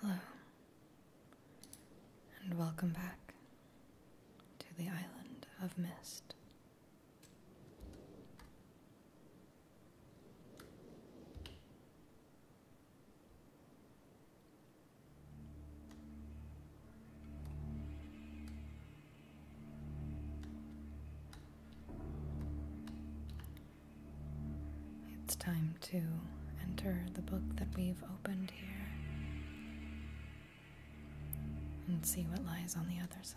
Hello, and welcome back to the island of mist. It's time to enter the book that we've opened here and see what lies on the other side.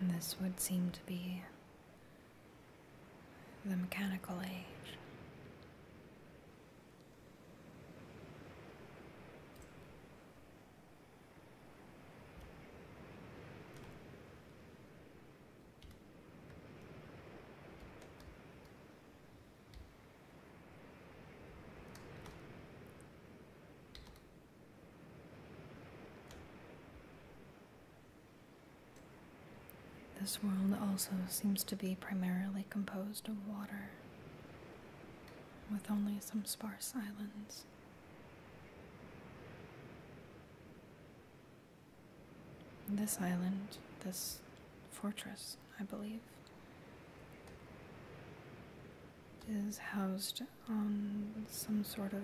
And this would seem to be the mechanical age. This world also seems to be primarily composed of water, with only some sparse islands. This island, this fortress, I believe, is housed on some sort of.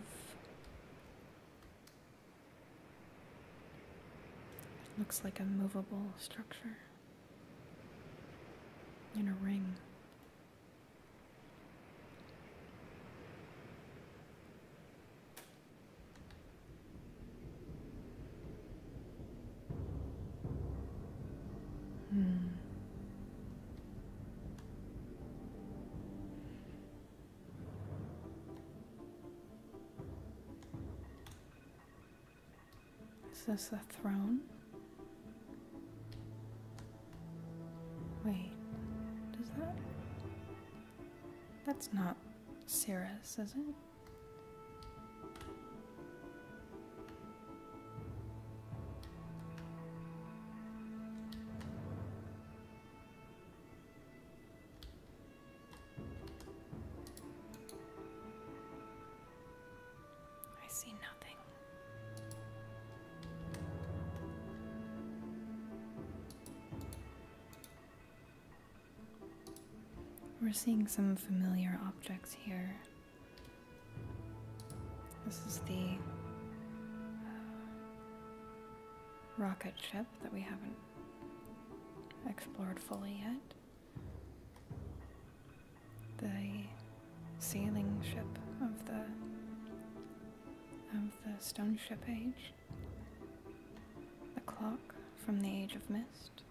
Looks like a movable structure in a ring. Hmm. Is this a throne? Wait, does that. That's not Cirrus, is it? I see nothing. We're seeing some familiar objects here. This is the uh, rocket ship that we haven't explored fully yet. The sailing ship of the of the stone ship age. The clock from the age of mist.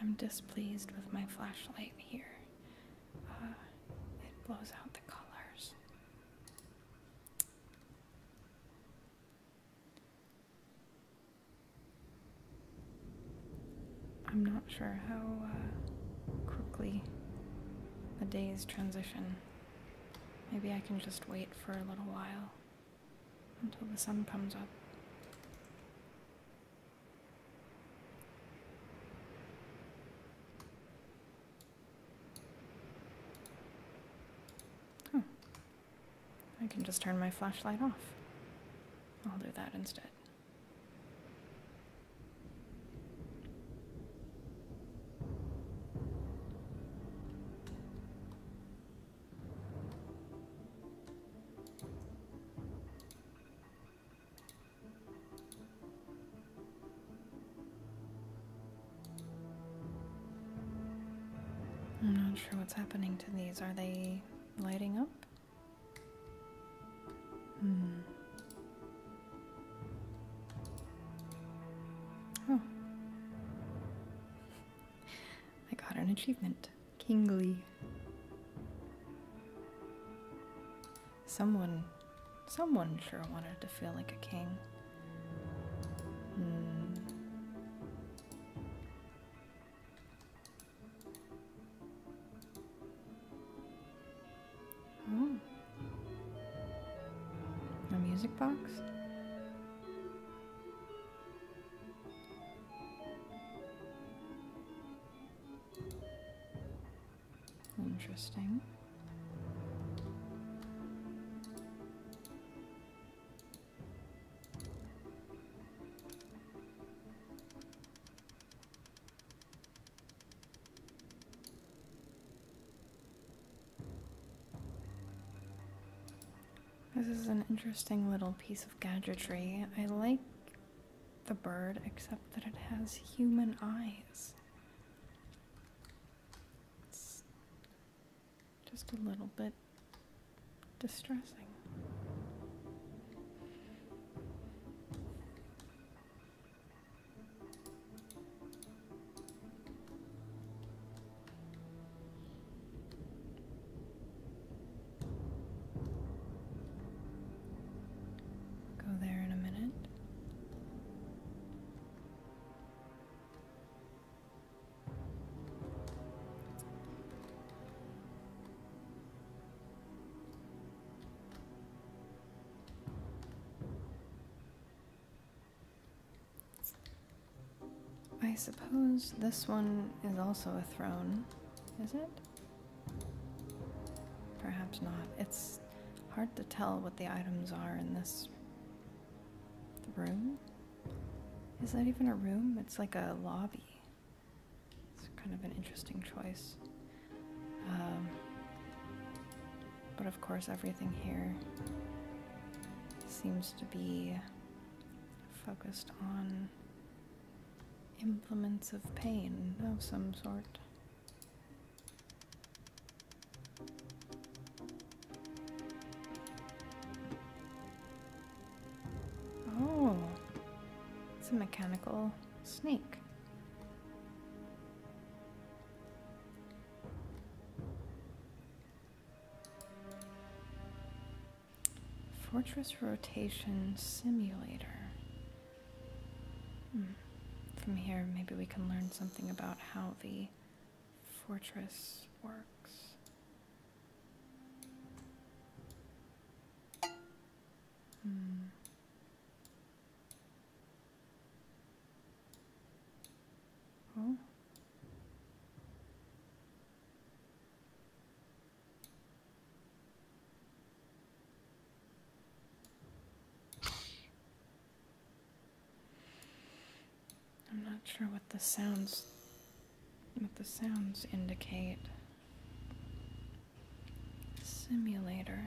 I'm displeased with my flashlight here. Uh, it blows out the colors. I'm not sure how uh, quickly the days transition. Maybe I can just wait for a little while until the sun comes up. I can just turn my flashlight off. I'll do that instead. I'm not sure what's happening to these. Are they lighting up? Hmm. Oh. I got an achievement. Kingly. Someone, someone sure wanted to feel like a king. Hmm. Oh. A music box? Interesting. This is an interesting little piece of gadgetry. I like the bird, except that it has human eyes. just a little bit distressing. Go there in a minute. I suppose this one is also a throne, is it? Perhaps not. It's hard to tell what the items are in this room. Is that even a room? It's like a lobby. It's kind of an interesting choice. Um, but of course, everything here seems to be focused on implements of pain of some sort. Oh, it's a mechanical snake. Fortress Rotation Simulator. Hmm. From here, maybe we can learn something about how the fortress works. Hmm. I'm not sure what the sounds what the sounds indicate. Simulator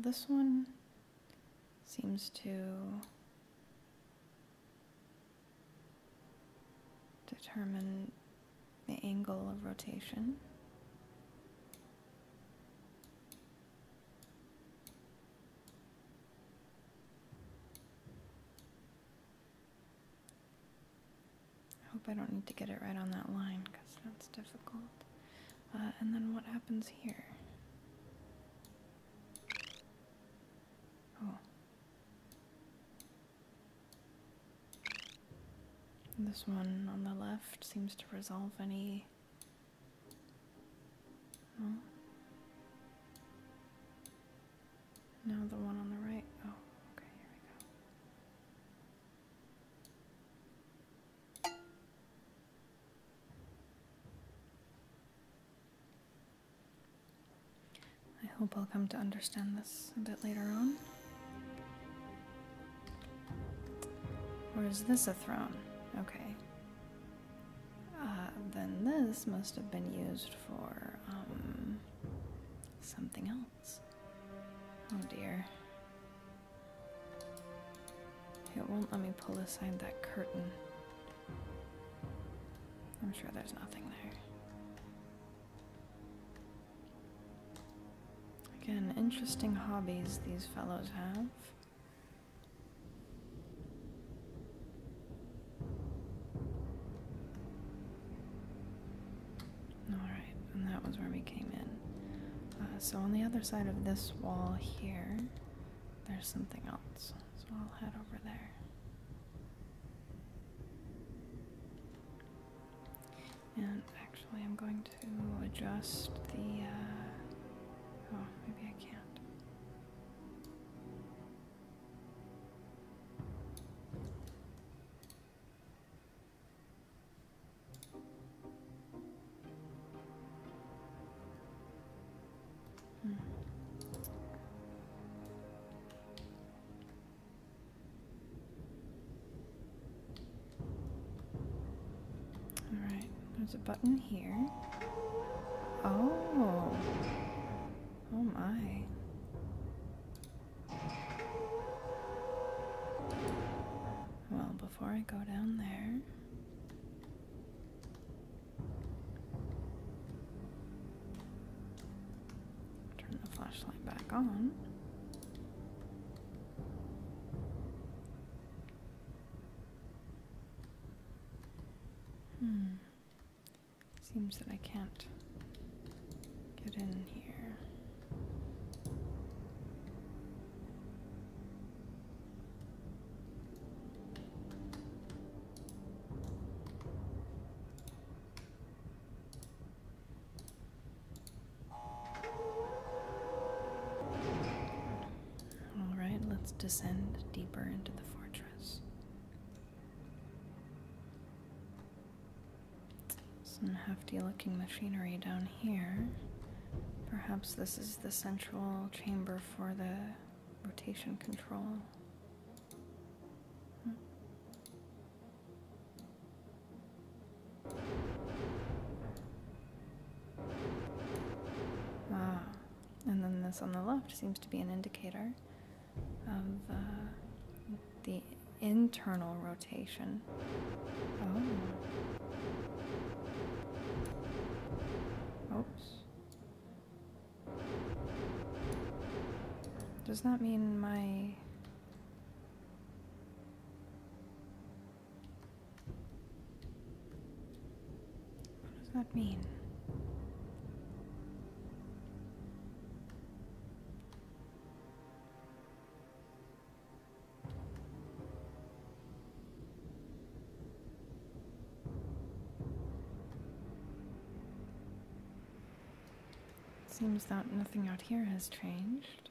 this one seems to determine the angle of rotation. I hope I don't need to get it right on that line because that's difficult. Uh, and then what happens here? Oh. This one on the left seems to resolve any. Now the one on the right. Oh, okay, here we go. I hope I'll come to understand this a bit later on. Or is this a throne? Okay. Uh, then this must have been used for, um, something else. Oh dear. It won't let me pull aside that curtain. I'm sure there's nothing there. Again, interesting hobbies these fellows have. Alright, and that was where we came in. Uh, so on the other side of this wall here, there's something else. So I'll head over there. And actually, I'm going to adjust the. Uh, oh, maybe I can't. All right, there's a button here. Oh. Oh my. Well, before I go down there. Turn the flashlight back on. Hmm. Seems that I can't get in here. All right, let's descend deeper into the fortress. Some hefty looking machinery down here. Perhaps this is the central chamber for the rotation control. Hmm. Ah, and then this on the left seems to be an indicator of uh, the internal rotation. Oh. Oops. Does that mean my... What does that mean? Seems that nothing out here has changed.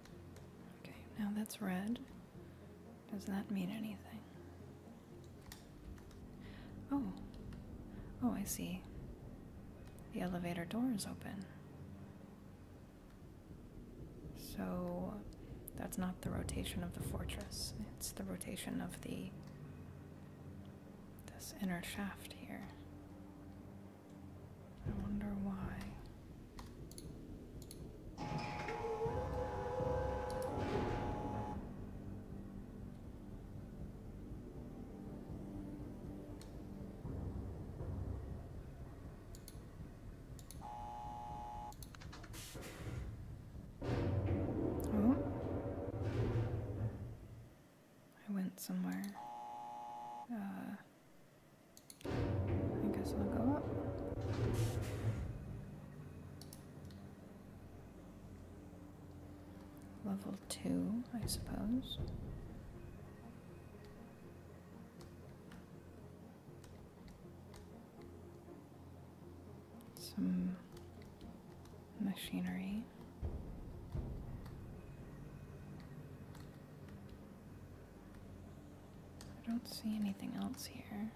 Okay, now that's red. Does that mean anything? Oh. Oh, I see. The elevator door is open. So that's not the rotation of the fortress. It's the rotation of the this inner shaft here. I wonder why. Oh. I went somewhere. Uh I guess I'll go up. Level 2, I suppose. Some machinery. I don't see anything else here.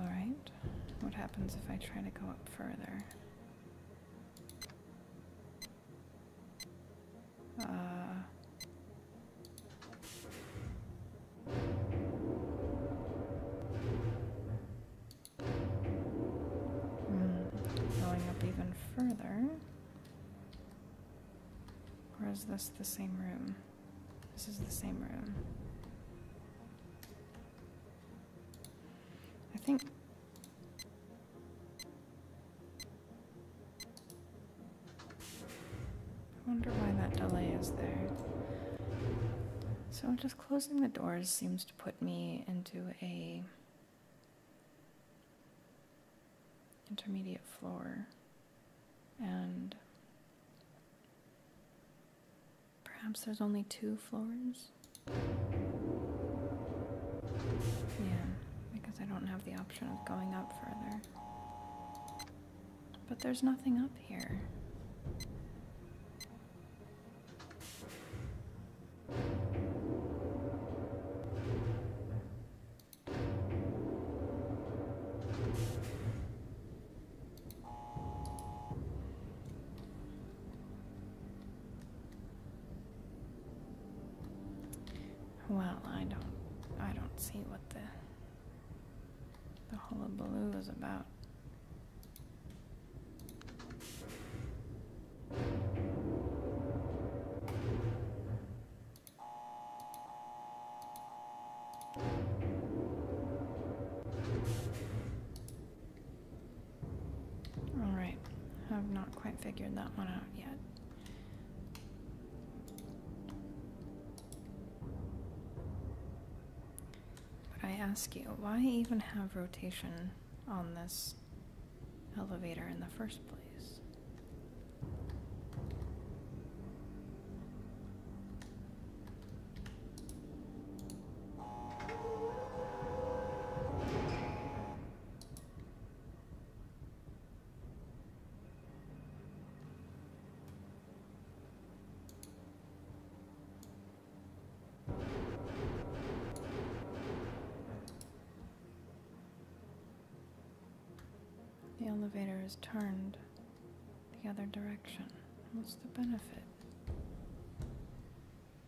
All right. What happens if I try to go up further? Uh, going up even further. Or is this the same room? This is the same room. I think... I wonder why that delay is there. So just closing the doors seems to put me into a intermediate floor and Perhaps there's only two floors? Yeah, because I don't have the option of going up further. But there's nothing up here. Well, I don't I don't see what the the hullabaloo is about. Alright, I've not quite figured that one out yet. But I ask you, why even have rotation on this elevator in the first place? The elevator is turned the other direction. What's the benefit?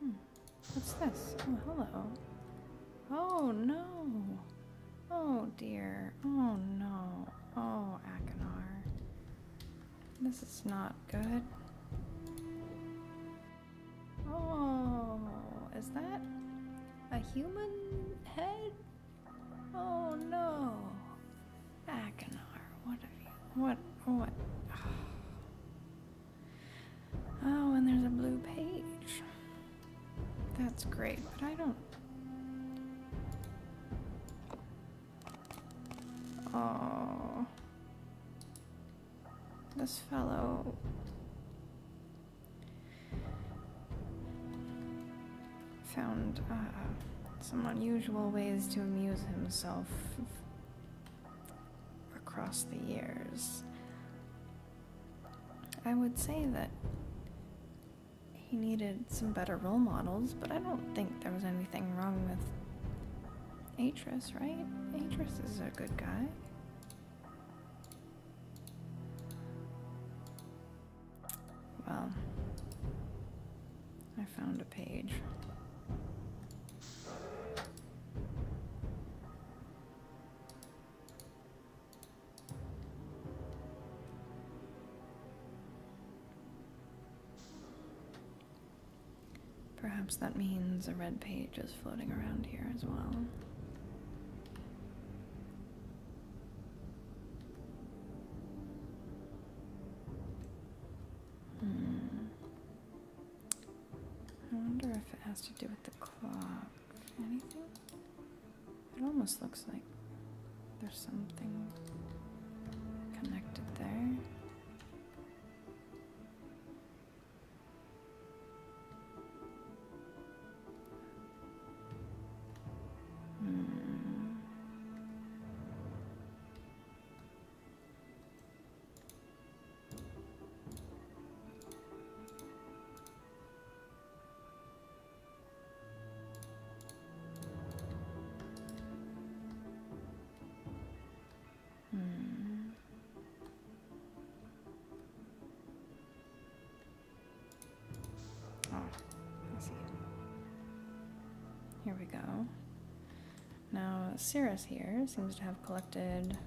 Hmm. What's this? Oh, hello. Oh, no. Oh, dear. Oh, no. Oh, Akinar. This is not good. Oh, is that a human head? Oh, no. Akinar, what have you? What? What? Oh, and there's a blue page. That's great, but I don't. Oh. This fellow. Found, uh, some unusual ways to amuse himself across the years. I would say that he needed some better role models, but I don't think there was anything wrong with Atrus, right? Atrus is a good guy. Well, I found a page. Perhaps that means a red page is floating around here as well. Hmm. I wonder if it has to do with the clock. Anything? It almost looks like there's something connected there. Hmm. Hmm. Ah, Here we go. Now, Cirrus here seems to have collected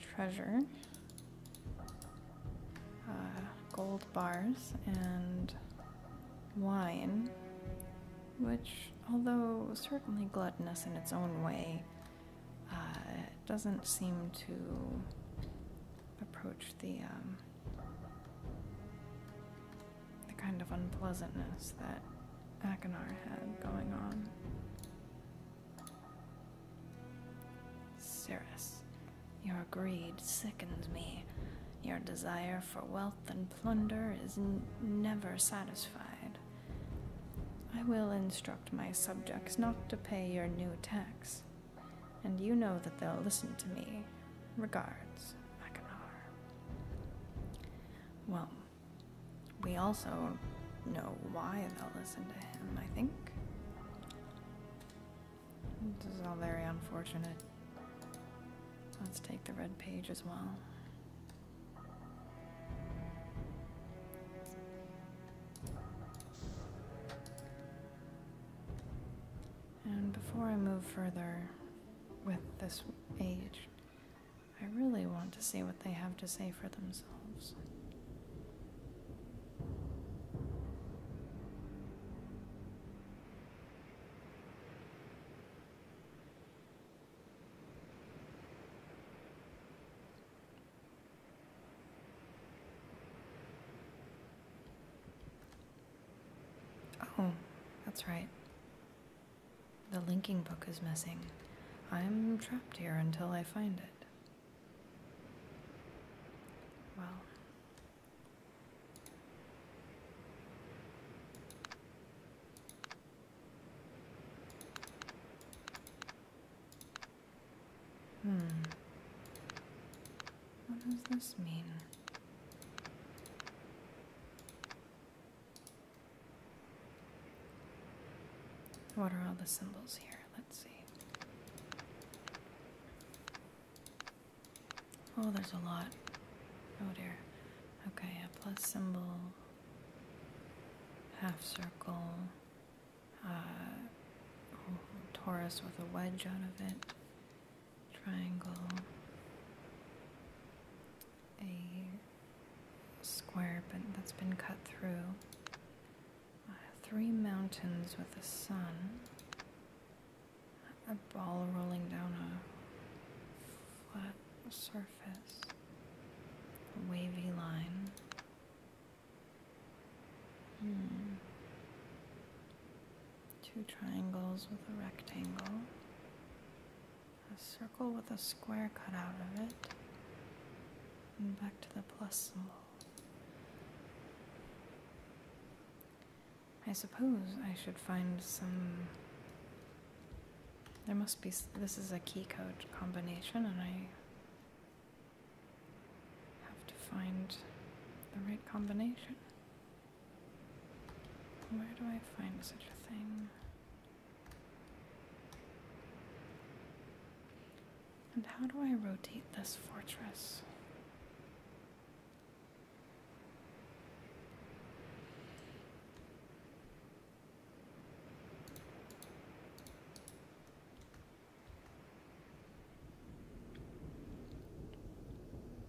treasure, uh, gold bars, and wine, which, although certainly gluttonous in its own way, uh, doesn't seem to approach the um, the kind of unpleasantness that Akinar had going on. Cirrus, your greed sickens me. Your desire for wealth and plunder is never satisfied. I will instruct my subjects not to pay your new tax, and you know that they'll listen to me. Regards. Akinar. Well, we also know why they'll listen to him, I think. This is all very unfortunate. Let's take the red page as well. And before I move further, with this age. I really want to see what they have to say for themselves. Oh, that's right. The linking book is missing. I'm trapped here until I find it. Well. Hmm. What does this mean? What are all the symbols here? Let's see. Oh, there's a lot. Oh dear. Okay, a plus symbol, half circle, uh, oh, torus with a wedge out of it, triangle, a square but that's been cut through, uh, three mountains with the sun, a ball rolling down a flat surface, a wavy line. Hmm two triangles with a rectangle, a circle with a square cut out of it, and back to the plus symbol. I suppose I should find some. There must be. This is a key code combination, and I have to find the right combination. Where do I find such a thing? And how do I rotate this fortress?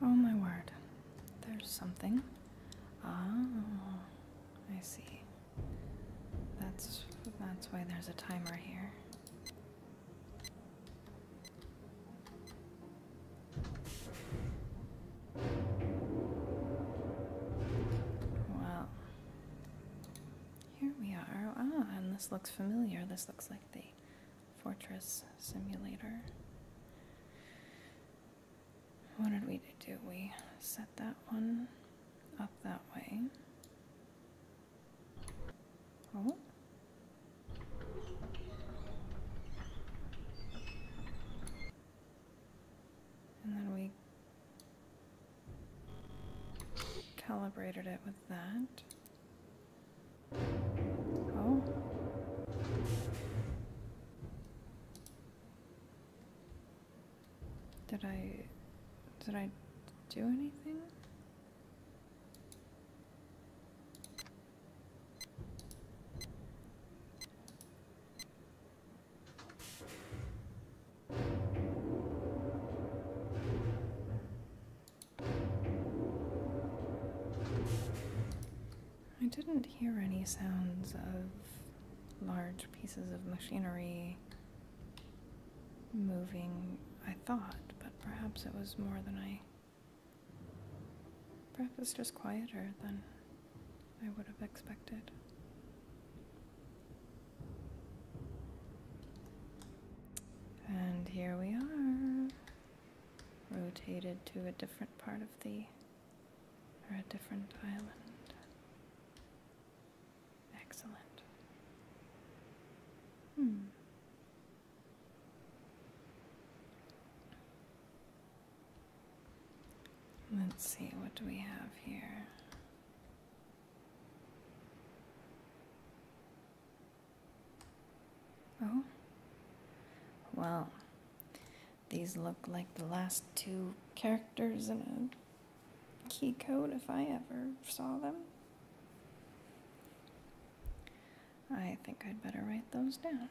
Oh my word, there's something. Oh, I see. That's that's why there's a timer here. Well, here we are. Ah, and this looks familiar. This looks like the fortress simulator. What did we do? We set that one up that way. Oh. And then we calibrated it with that. Oh. Did I did I do anything? I didn't hear any sounds of large pieces of machinery moving, I thought, but perhaps it was more than I. Breakfast is quieter than I would have expected. And here we are, rotated to a different part of the, or a different island. Excellent. Hmm. Let's see, what do we have here? Oh, well, these look like the last two characters in a key code if I ever saw them. I think I'd better write those down.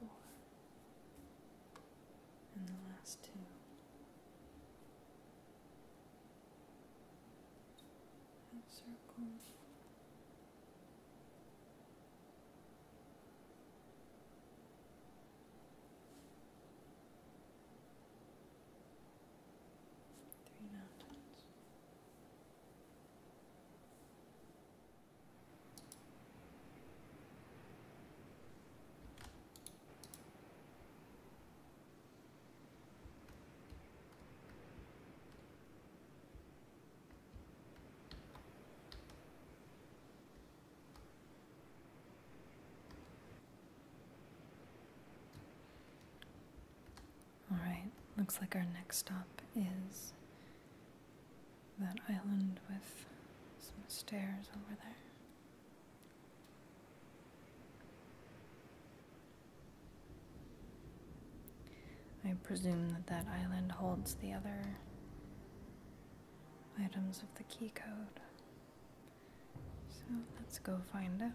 four, and the last two. And circle. Three mountains. All right, looks like our next stop is that island with some stairs over there. I presume that that island holds the other items of the key code. So let's go find out.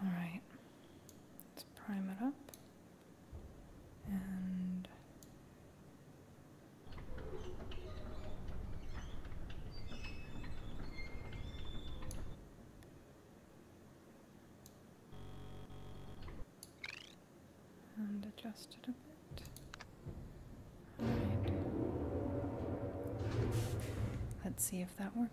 All right, let's prime it up and adjust it a bit. Let's see if that worked.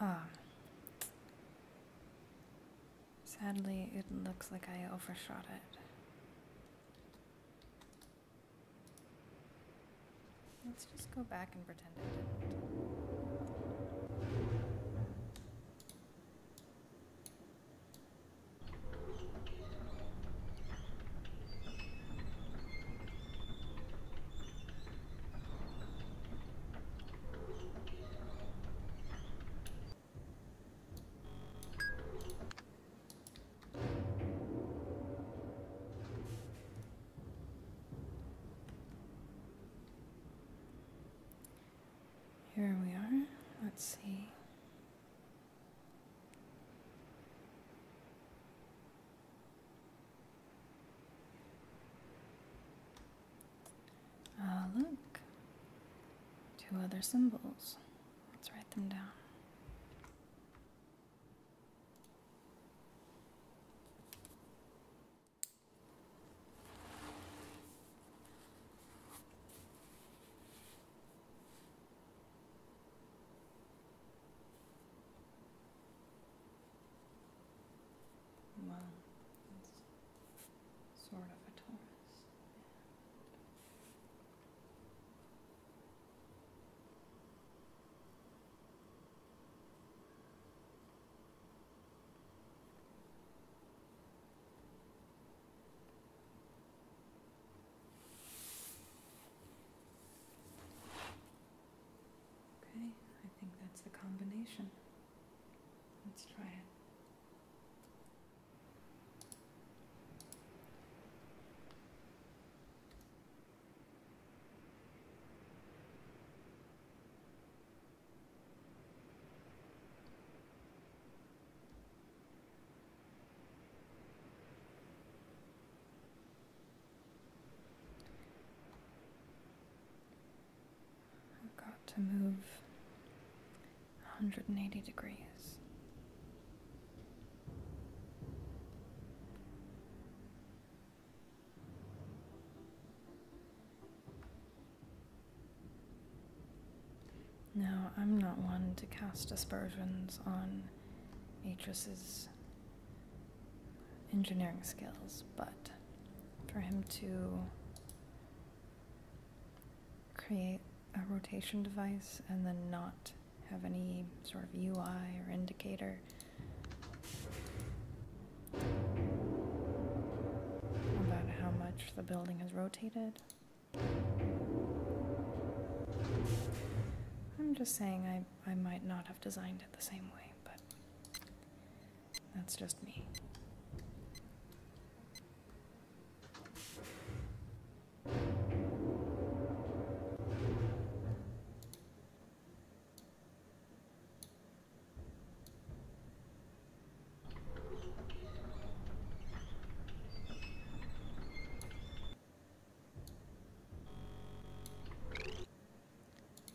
Um, sadly, it looks like I overshot it. Let's just go back and pretend it didn't. Here we are. Let's see. Ah, look. Two other symbols. Let's write them down. Well, it's sort of a Taurus. Okay, I think that's the combination. Let's try it. I've got to move 180 degrees. Now, I'm not one to cast aspersions on actresses engineering skills, but for him to create a rotation device and then not have any sort of UI or indicator. About how much the building has rotated. I'm just saying I, I might not have designed it the same way, but that's just me.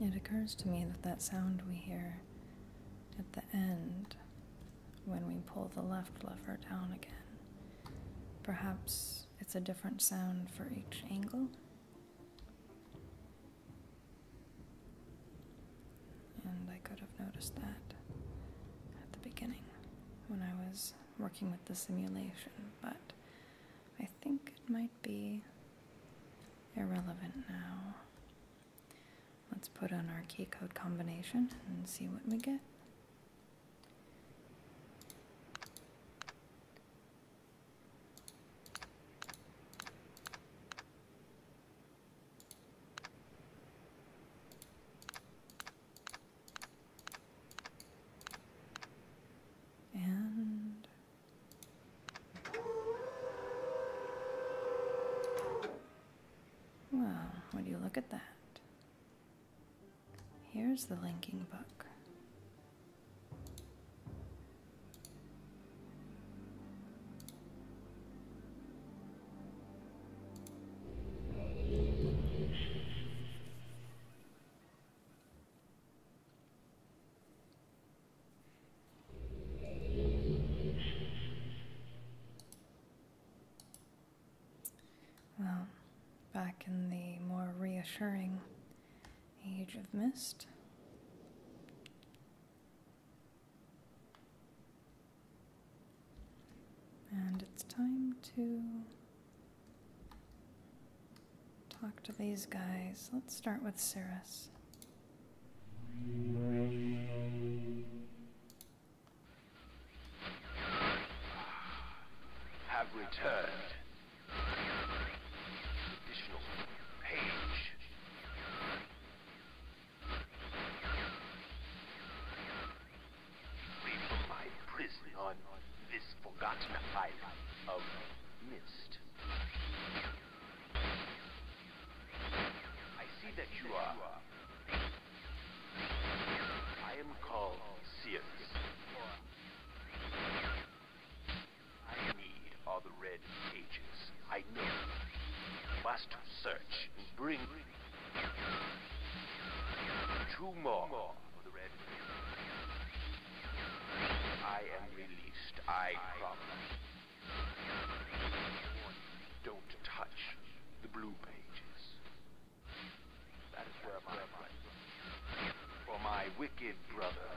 It occurs to me that that sound we hear at the end when we pull the left lever down again, perhaps it's a different sound for each angle. And I could have noticed that at the beginning when I was working with the simulation, but I think it might be irrelevant now. Let's put on our key code combination and see what we get. And well, do you look at that? Here's the linking book. Well, back in the more reassuring age of mist. And it's time to talk to these guys. Let's start with Cirrus. Have returned. Additional page. Free my prison on this forgotten island of mist. I see that you are. I am called Sirius. I need all the red pages. I know. must search and bring two more of the red. I am released, I promise. Don't touch the blue pages. That is where my for my wicked brother.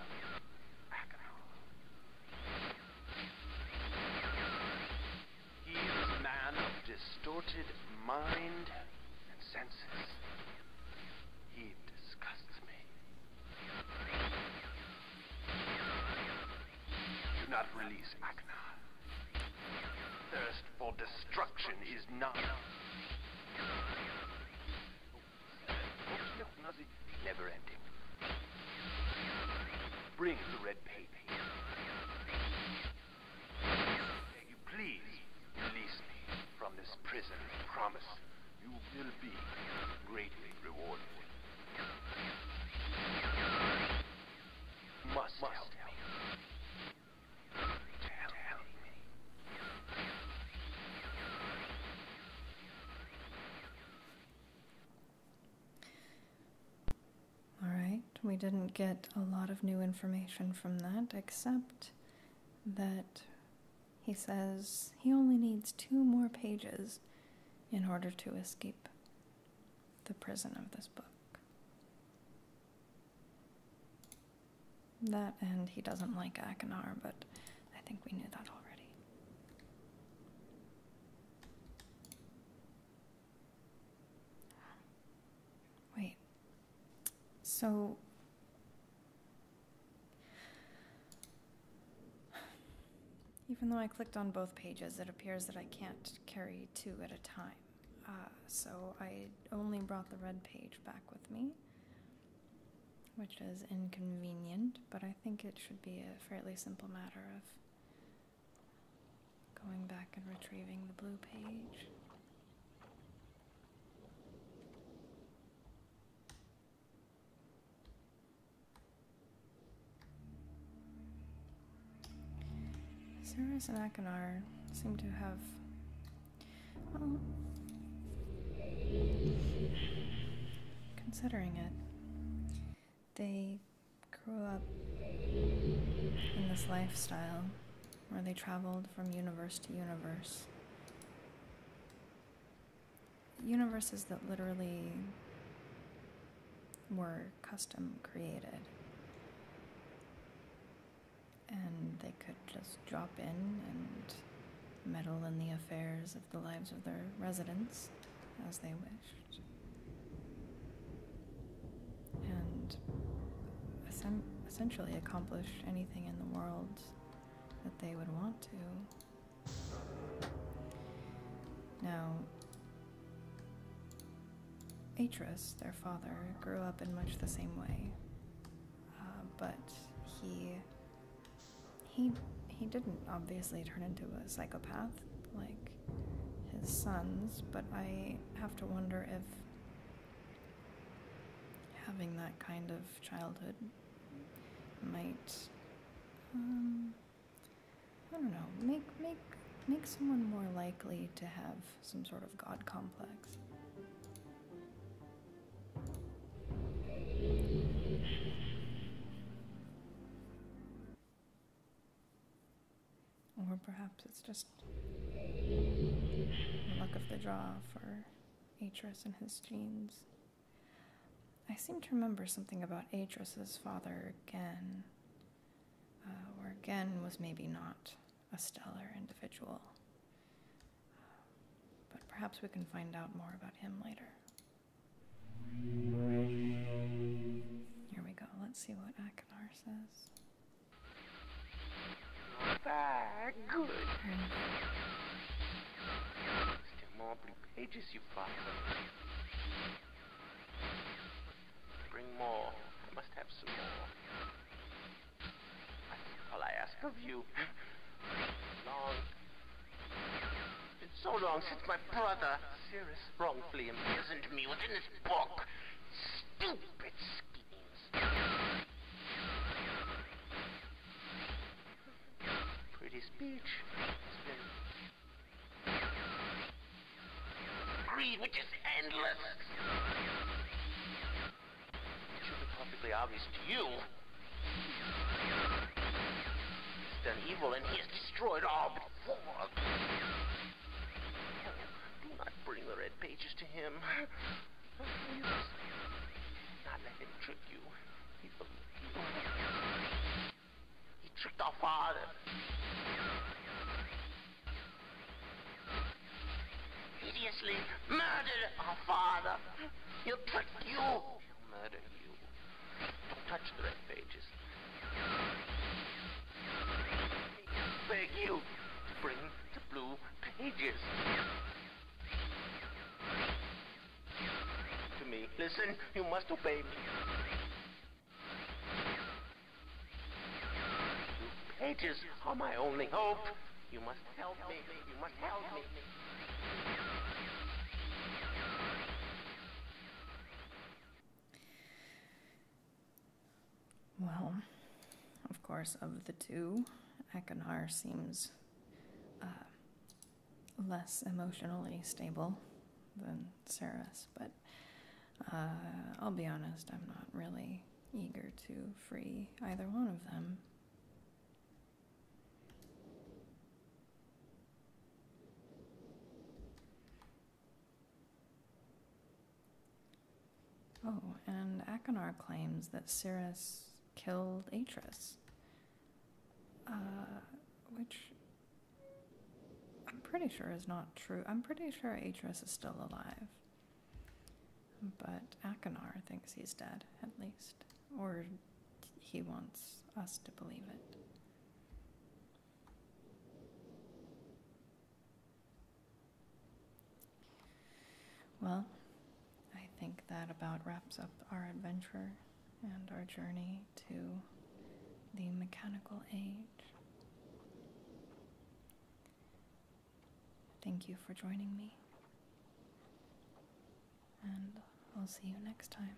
He is a man of distorted mind and senses. He disgusts me. Do not release Akna. Thirst for destruction is not... Never ending. Bring the red paper. Please release me from this prison, promise you will be greatly rewarded. must, help me. All right, we didn't get a lot of new information from that, except that he says he only needs two more pages in order to escape the prison of this book. That and he doesn't like Akinar, but I think we knew that already. Wait. So even though I clicked on both pages, it appears that I can't carry two at a time. Uh, so I only brought the red page back with me, which is inconvenient, but I think it should be a fairly simple matter of going back and retrieving the blue page. Cirrus and Akinar seem to have. Considering it, they grew up in this lifestyle where they traveled from universe to universe universes that literally were custom created. And they could just drop in and meddle in the affairs of the lives of their residents as they wished. And essentially accomplish anything in the world that they would want to. Now, Atris, their father, grew up in much the same way, uh, but he he he didn't obviously turn into a psychopath like his sons, but I have to wonder if having that kind of childhood might um, I don't know make make make someone more likely to have some sort of god complex. Or perhaps it's just the luck of the draw for Atris and his genes. I seem to remember something about Adris's father again, or uh, again was maybe not a stellar individual. But perhaps we can find out more about him later. Here we go. Let's see what Akinar says. Ah, good. Tem more pages, you find. Bring more. I must have some more. all I ask of you. long. it been so long since my brother, Cyrus, wrongfully imprisoned me within this book. Stupid schemes. Pretty speech. Greed, which is endless! It should be perfectly obvious to you. He's done evil and he has destroyed all before. Do not bring the red pages to him. Not let him trick you. 你知道妈的！Hideously murdered our father. You prick you! Murder you. Don't touch the red pages. Beg you to bring the blue pages to me. Listen, you must obey me. pages are my only hope. You must help me. You must help me. Well, of course, of the two, Akinar seems uh, less emotionally stable than Sarah's, but uh, I'll be honest, I'm not really eager to free either one of them. Oh, and Akinar claims that Cirrus killed Atris. Uh, which I'm pretty sure is not true. I'm pretty sure Atreus is still alive. But Akinar thinks he's dead, at least. Or he wants us to believe it. Well, I think that about wraps up our adventure and our journey to the mechanical age. Thank you for joining me, and I'll see you next time.